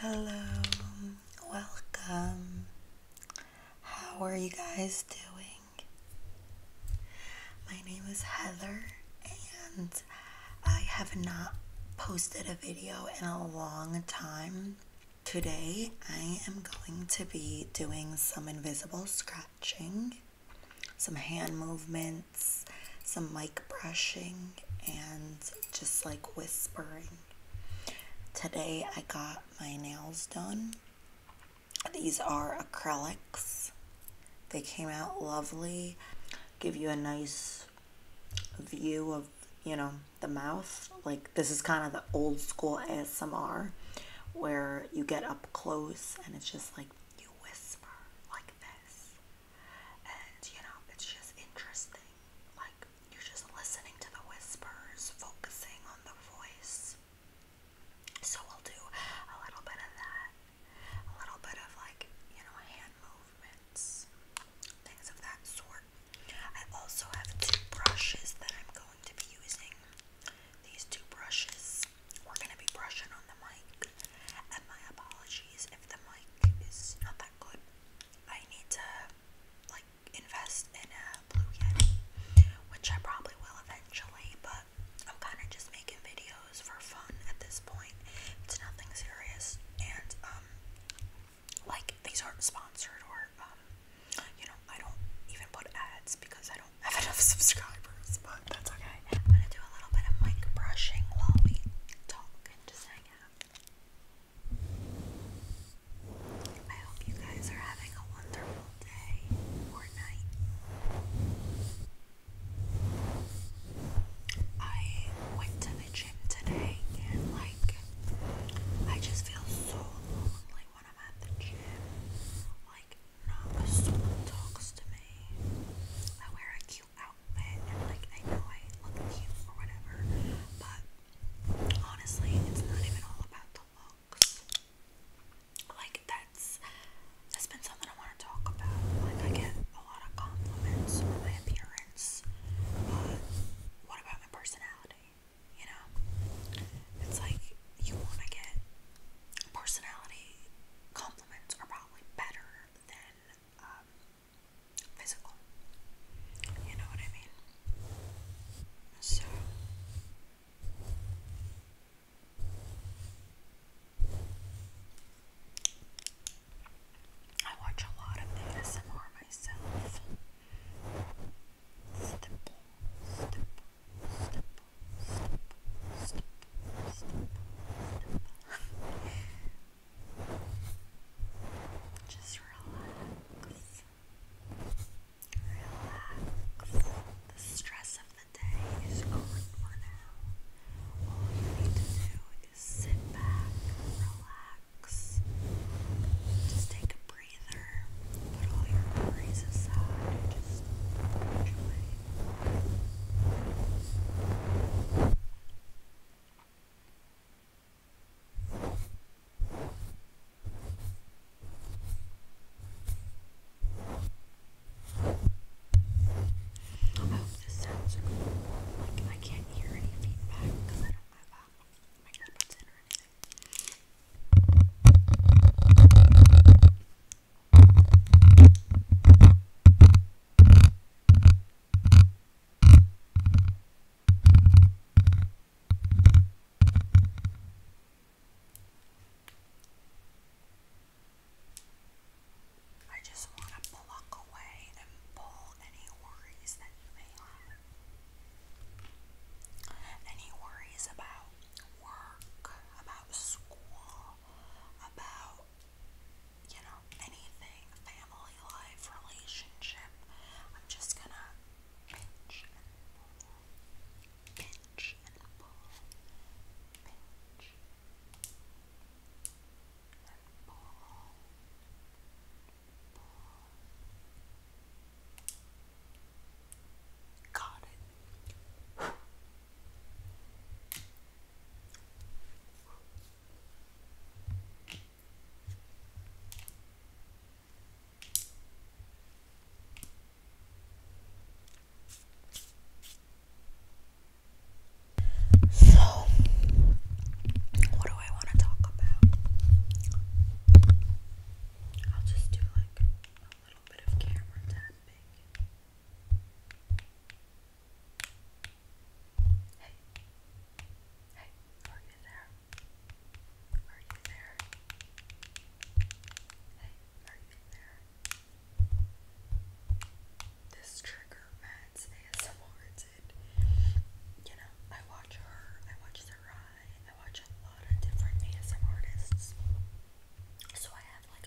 Hello, welcome. How are you guys doing? My name is Heather, and I have not posted a video in a long time. Today, I am going to be doing some invisible scratching, some hand movements, some mic brushing, and just like whispering. Today I got my nails done. These are acrylics. They came out lovely. Give you a nice view of, you know, the mouth. Like this is kind of the old school ASMR where you get up close and it's just like you whisper like this. And you know, it's just interesting. Like, you're just listening to the whispers, focusing on the voice. So, we'll do a little bit of that, a little bit of like, you know, hand movements, things of that sort. I also have two brushes that I'm going to be using. These two brushes, we're going to be brushing on the mic. And my apologies if the mic is not that that I need to like invest in a Blue Yeti, which I probably will eventually, but I'm kind of just making videos for fun at this point. It's nothing serious, and um, like these aren't sponsored or um, you know, I don't even put ads because I don't have enough subscribers, but that's okay. I'm gonna do a little bit of mic brushing while we talk just hang out. I hope you guys are having a wonderful day or I went to the gym today and, like, I just feel so lonely when I'm at the gym. Like, not someone talks to me. I wear a outfit and like I know I look cute or whatever, but honestly, it's not even all about the looks. Like that's that's been something I want to talk about. Like I get a lot of compliments on my appearance, but what about my personality? You know, it's like you want to get personality compliments are probably better than um, physical. You know what I mean? So. I watch a lot of ASMR myself. Just relax. Relax. The stress of the day is gone for now. All you need to do is sit back, relax, just take a breather, put all your worries aside, just enjoy hope this sounds cool. I can't hear any feedback because I don't have um, my earbuds in or anything. I just want to pluck away and pull any worries that you may have. Any worries about work, about school, about you know, anything, family life, relationship, I'm just gonna pinch and pull, pinch and pull, pinch and pull, pull. Got it. So, what do I want to talk about? I'll just do like a little bit of camera tapping. Hey, hey, are you there? Are you there? Hey, are you there? This trigger meds ASMR, it's it. You know, I watch her, I watch Sarai, I watch a lot of different ASM artists. So I have like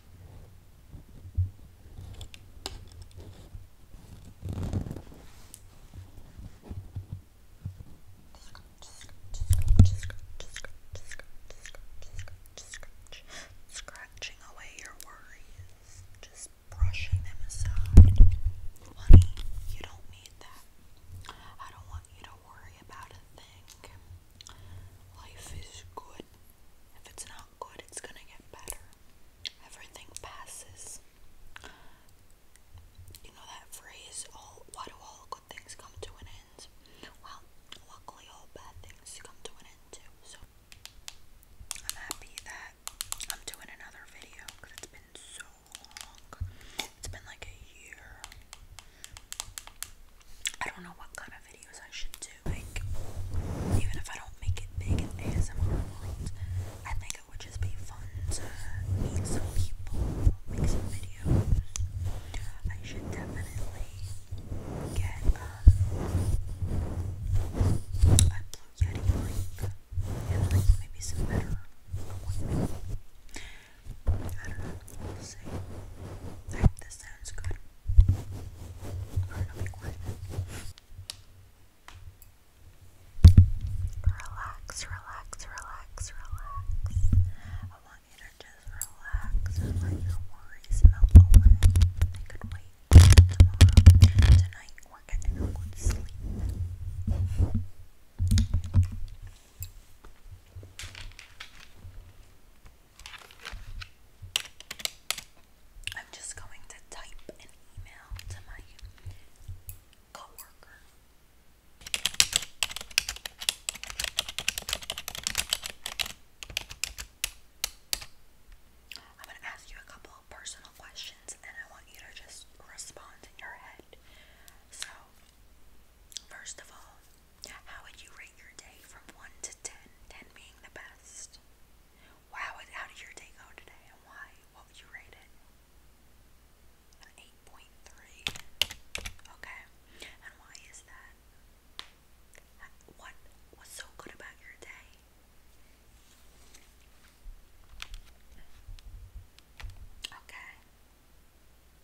scratch, scratching away your worries, just brushing them aside. Honey, you don't need that. I don't want you to worry about a thing. Life is good if it's not good, it's gonna get better. Everything passes. You know that phrase, why do all good things come to an end? Well, luckily all bad things come to an end too, so I'm happy that I'm doing another video because it's been so long. It's been like a year. I don't know what kind of videos I should do. Like, even if I don't make it big in ASMR I think it would just be fun to meet some people, make some videos. I should definitely get um, a Yeti mic maybe some better equipment. I don't know, we I hope this sounds good. Relax, relax, relax, relax. I want you to just relax and let your worries melt away. They could wait tomorrow. Tonight we're getting a good sleep. I'm just going to type an email to my coworker. I'm going to ask you a couple of personal questions and I want you to just respond in your head. So, first of all, how would you rate your day from 1 to 10? 10 being the best. Wow, how did your day go today and why? What would you rate it? 8.3. Okay. And why is that? What was so good about your day? Okay.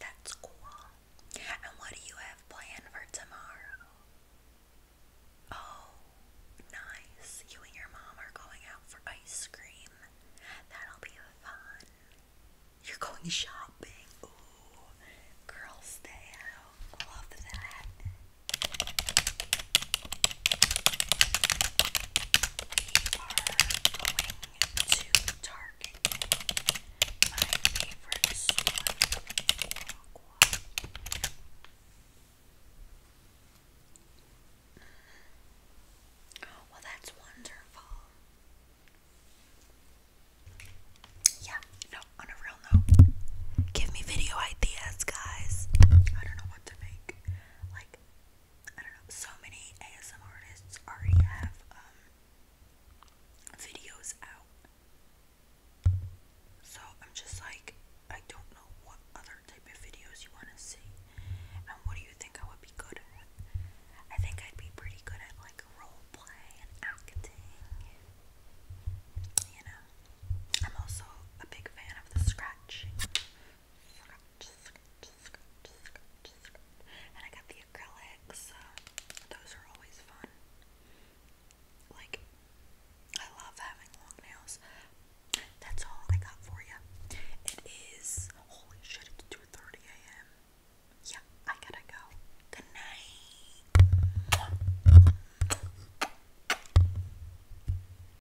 That's cool. And what do you have planned for tomorrow? Oh, nice. You and your mom are going out for ice cream. That'll be fun. You're going shopping. Ooh, girls' day out. Love that to Target. My favorite store, Oh, well, that's wonderful. Yeah, no, on a real note, give me video ideas, guys. I don't know what to make. Like, I don't know, so many ASM artists already have um, videos out. So I'm just like I don't know what other type of videos you wanna see. And what do you think I would be good at? I think I'd be pretty good at like role play and acting. You know. I'm also a big fan of the scratching. And I got the acrylics. those are always fun. Like, I love having long nails. That's all I got for you. It is, holy shit, it's 2.30 a.m. Yeah, I gotta go. Good night.